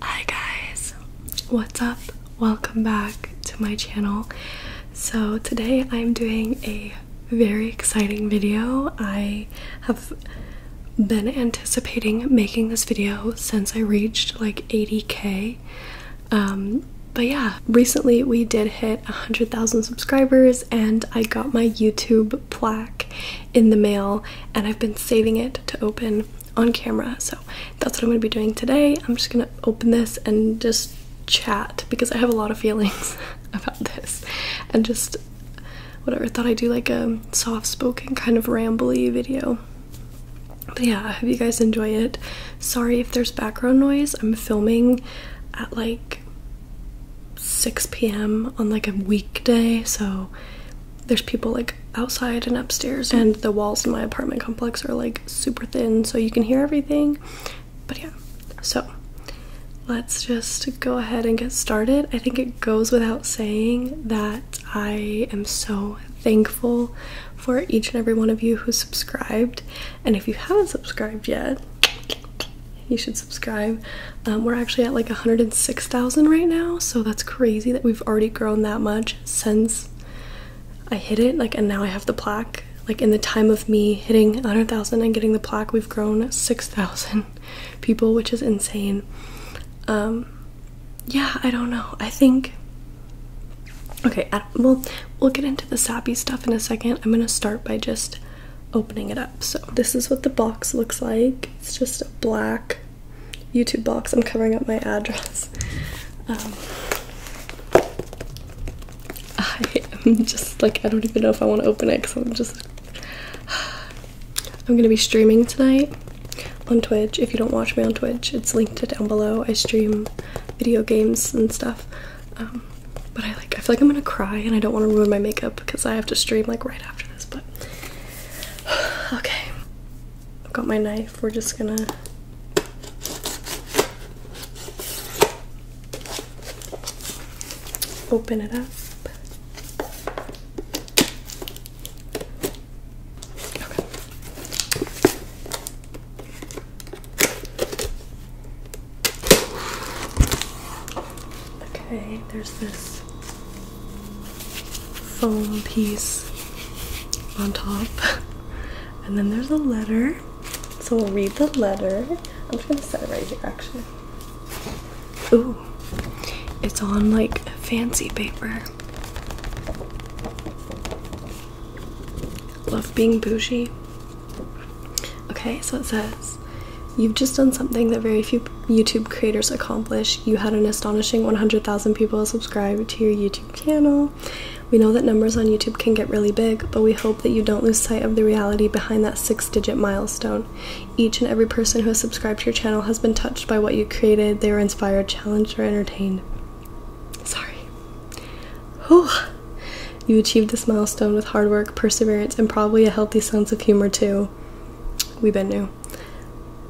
Hi guys, what's up? Welcome back to my channel. So, today I'm doing a very exciting video. I have been anticipating making this video since I reached like 80k. Um, but yeah, recently we did hit 100,000 subscribers and I got my YouTube plaque in the mail, and I've been saving it to open on camera. So that's what I'm gonna be doing today. I'm just gonna open this and just chat because I have a lot of feelings about this and just whatever. I thought I'd do like a soft spoken kind of rambly video. But yeah, I hope you guys enjoy it. Sorry if there's background noise. I'm filming at like 6 p.m. on like a weekday, so there's people like outside and upstairs mm. and the walls in my apartment complex are like super thin so you can hear everything but yeah so let's just go ahead and get started i think it goes without saying that i am so thankful for each and every one of you who subscribed and if you haven't subscribed yet you should subscribe um, we're actually at like 106,000 right now, so that's crazy that we've already grown that much since I hit it. Like, and now I have the plaque. Like, in the time of me hitting 100,000 and getting the plaque, we've grown 6,000 people, which is insane. Um, yeah, I don't know. I think. Okay, well, we'll get into the sappy stuff in a second. I'm gonna start by just opening it up. So, this is what the box looks like. It's just a black YouTube box. I'm covering up my address. Um, I am just like, I don't even know if I want to open it because I'm just. I'm going to be streaming tonight on Twitch. If you don't watch me on Twitch, it's linked down below. I stream video games and stuff. Um, but I like, I feel like I'm gonna cry and I don't want to ruin my makeup because I have to stream like right after this. But okay, I've got my knife. We're just gonna. Open it up. Okay. Okay, there's this foam piece on top. And then there's a letter. So we'll read the letter. I'm just gonna set it right here actually. Ooh, it's on like fancy paper. Love being bougie. Okay, so it says, You've just done something that very few YouTube creators accomplish. You had an astonishing 100,000 people subscribe to your YouTube channel. We know that numbers on YouTube can get really big, but we hope that you don't lose sight of the reality behind that six digit milestone. Each and every person who has subscribed to your channel has been touched by what you created, they were inspired, challenged, or entertained. Sorry. Whew. You achieved this milestone with hard work, perseverance, and probably a healthy sense of humor, too. We've been new.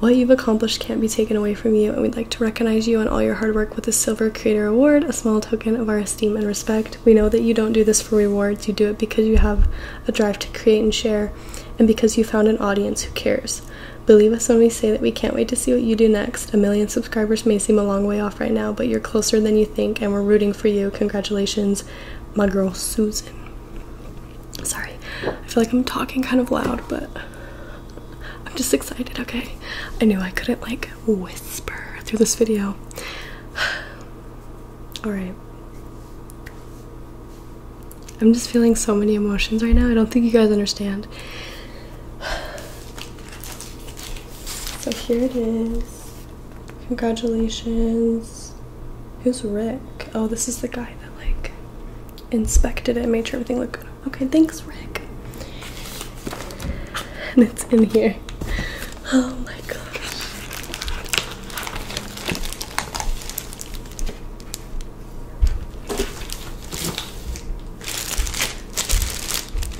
What you've accomplished can't be taken away from you, and we'd like to recognize you and all your hard work with the Silver Creator Award, a small token of our esteem and respect. We know that you don't do this for rewards, you do it because you have a drive to create and share, and because you found an audience who cares. Believe us when we say that we can't wait to see what you do next. A million subscribers may seem a long way off right now, but you're closer than you think, and we're rooting for you. Congratulations, my girl Susan. Sorry, I feel like I'm talking kind of loud, but I'm just excited, okay? I knew I couldn't like whisper through this video. Alright. I'm just feeling so many emotions right now. I don't think you guys understand. So here it is. Congratulations. Who's Rick? Oh, this is the guy that like inspected it, made sure everything looked good. Okay, thanks, Rick. And it's in here. Oh my gosh.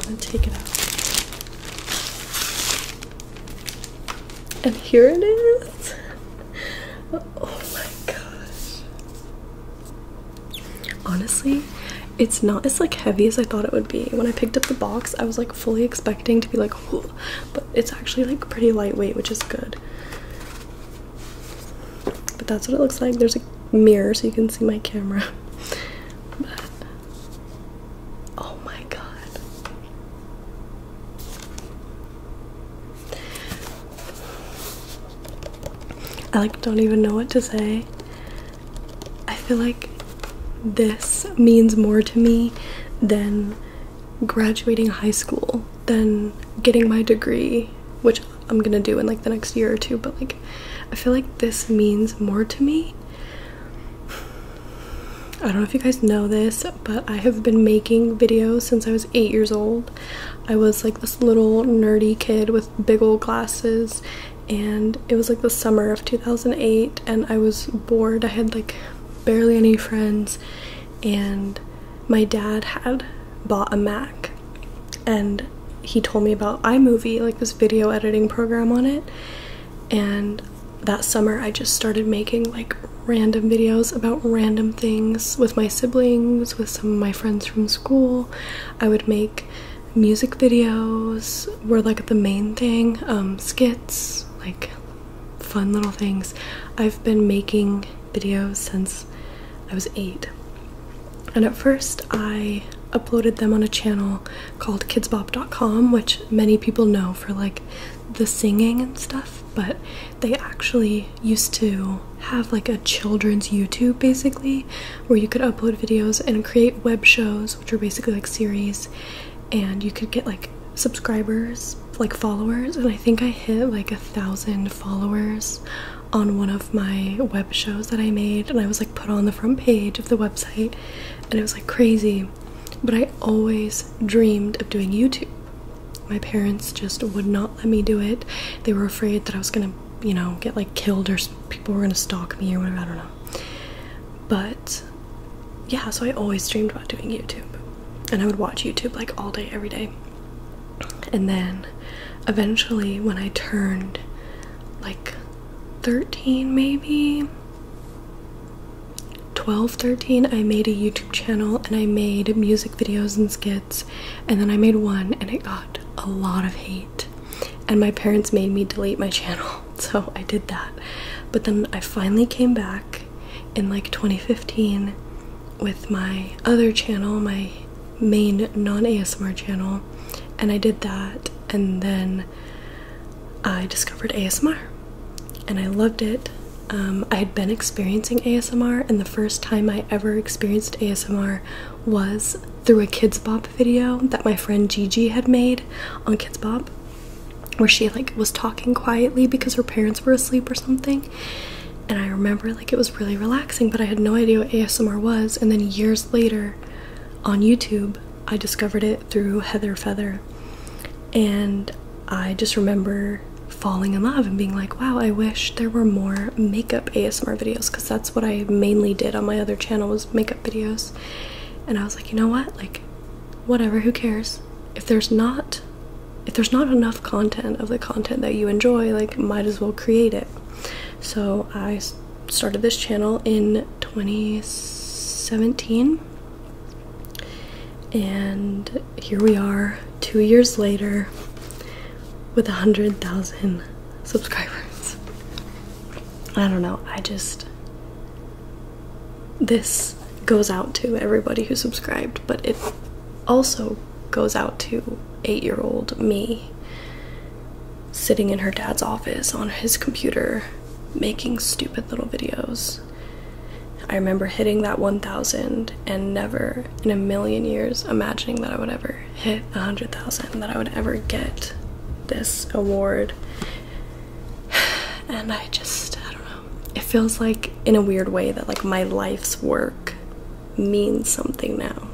And take it out. And here it is oh my gosh. Honestly, it's not as like heavy as I thought it would be. When I picked up the box, I was like fully expecting to be like, but it's actually like pretty lightweight, which is good. But that's what it looks like. There's a mirror so you can see my camera. But oh my god. I like don't even know what to say. I feel like this means more to me than graduating high school, than getting my degree, which I'm gonna do in like the next year or two, but like I feel like this means more to me. I don't know if you guys know this, but I have been making videos since I was eight years old. I was like this little nerdy kid with big old glasses, and it was like the summer of 2008, and I was bored. I had like barely any friends, and my dad had bought a Mac, and he told me about iMovie, like this video editing program on it, and that summer I just started making like random videos about random things with my siblings, with some of my friends from school. I would make music videos were like the main thing, um, skits, like fun little things. I've been making videos since I was eight. And at first I uploaded them on a channel called kidsbop.com, which many people know for like the singing and stuff, but they actually used to have like a children's YouTube basically where you could upload videos and create web shows, which are basically like series, and you could get like subscribers, like followers. And I think I hit like a thousand followers on one of my web shows that I made, and I was like put on the front page of the website, and it was like crazy. But I always dreamed of doing YouTube my parents just would not let me do it. They were afraid that I was gonna, you know, get like killed or people were gonna stalk me or whatever. I don't know. But yeah, so I always dreamed about doing YouTube, and I would watch YouTube like all day, every day. And then eventually, when I turned like 13, maybe 12, 13 I made a YouTube channel and I made music videos and skits, and then I made one and it got a lot of hate. And my parents made me delete my channel, so I did that. But then I finally came back in like 2015 with my other channel, my main non ASMR channel, and I did that, and then I discovered ASMR and I loved it. Um, I had been experiencing ASMR, and the first time I ever experienced ASMR was through a Kids Bob video that my friend Gigi had made on Kids Bob, where she like was talking quietly because her parents were asleep or something. And I remember like it was really relaxing, but I had no idea what ASMR was. And then years later, on YouTube, I discovered it through Heather Feather, and I just remember falling in love and being like, wow, I wish there were more makeup ASMR videos because that's what I mainly did on my other channel was makeup videos. And I was like, you know what? Like, whatever, who cares? If there's not if there's not enough content of the content that you enjoy, like might as well create it. So I started this channel in 2017 and here we are two years later with a hundred thousand subscribers. I don't know, I just this goes out to everybody who subscribed, but it also goes out to eight year old me sitting in her dad's office on his computer making stupid little videos I remember hitting that 1,000 and never in a million years imagining that I would ever hit 100,000, that I would ever get this award. And I just, I don't know. It feels like, in a weird way, that like my life's work means something now.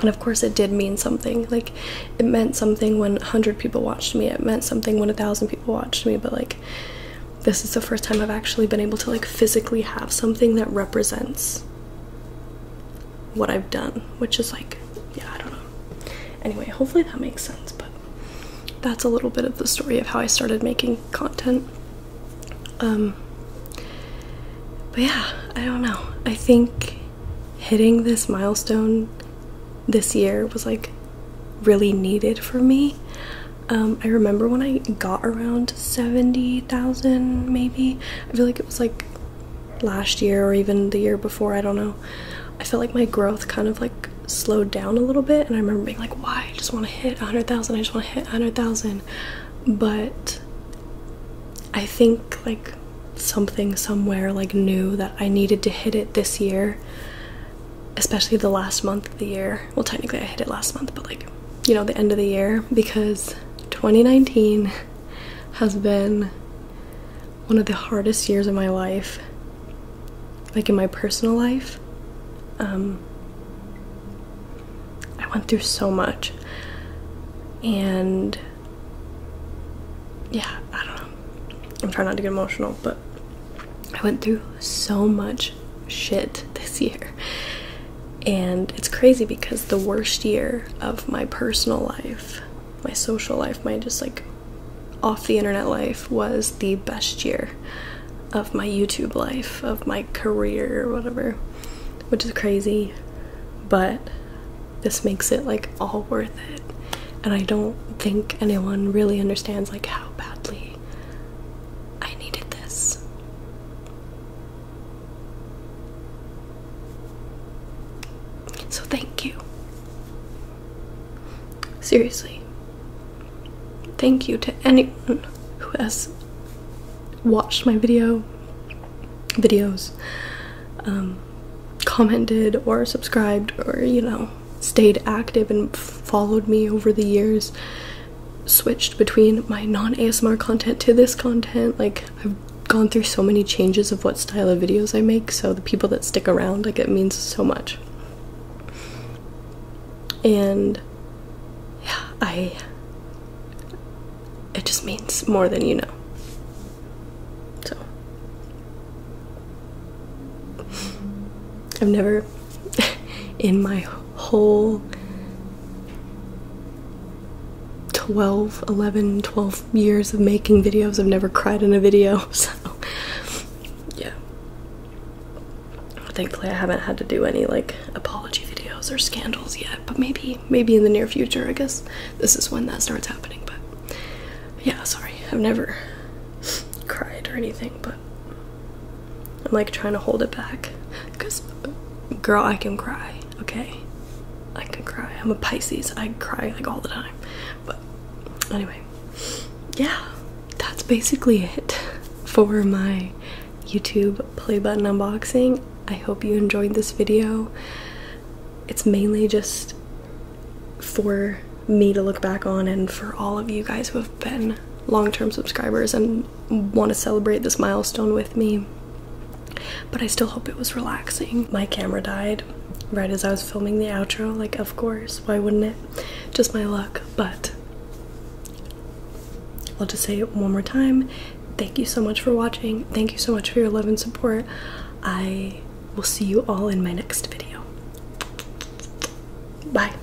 And of course, it did mean something. Like, it meant something when 100 people watched me, it meant something when 1,000 people watched me, but like, this is the first time I've actually been able to like physically have something that represents what I've done, which is like, yeah, I don't know. Anyway, hopefully that makes sense, but that's a little bit of the story of how I started making content. Um, but yeah, I don't know. I think hitting this milestone this year was like really needed for me. Um, I remember when I got around 70,000 maybe. I feel like it was like last year or even the year before, I don't know. I felt like my growth kind of like slowed down a little bit and I remember being like, why? I just want to hit 100,000. I just want to hit 100,000. But I think like something somewhere like knew that I needed to hit it this year, especially the last month of the year well technically I hit it last month but like you know the end of the year because 2019 has been one of the hardest years of my life like in my personal life um I went through so much and yeah I don't know I'm trying not to get emotional but I went through so much shit this year. And it's crazy because the worst year of my personal life, my social life, my just like off the internet life was the best year of my YouTube life, of my career whatever, which is crazy. But this makes it like all worth it. And I don't think anyone really understands like how badly I needed this. So thank you. Seriously. Thank you to anyone who has watched my video videos um, commented or subscribed or you know stayed active and followed me over the years switched between my non ASMR content to this content. Like, I've gone through so many changes of what style of videos I make, so the people that stick around, like, it means so much. And yeah, I. It just means more than you know. So. I've never, in my whole 12 11 12 years of making videos i've never cried in a video so yeah thankfully i haven't had to do any like apology videos or scandals yet but maybe maybe in the near future i guess this is when that starts happening but yeah sorry i've never cried or anything but I'm like trying to hold it back. Because, girl, I can cry, okay? I can cry. I'm a Pisces. I cry like all the time. But anyway, yeah, that's basically it for my YouTube play button unboxing. I hope you enjoyed this video. It's mainly just for me to look back on and for all of you guys who have been long-term subscribers and want to celebrate this milestone with me. But I still hope it was relaxing. My camera died right as I was filming the outro. Like, of course, why wouldn't it? Just my luck. But I'll just say it one more time. Thank you so much for watching. Thank you so much for your love and support. I will see you all in my next video. Bye.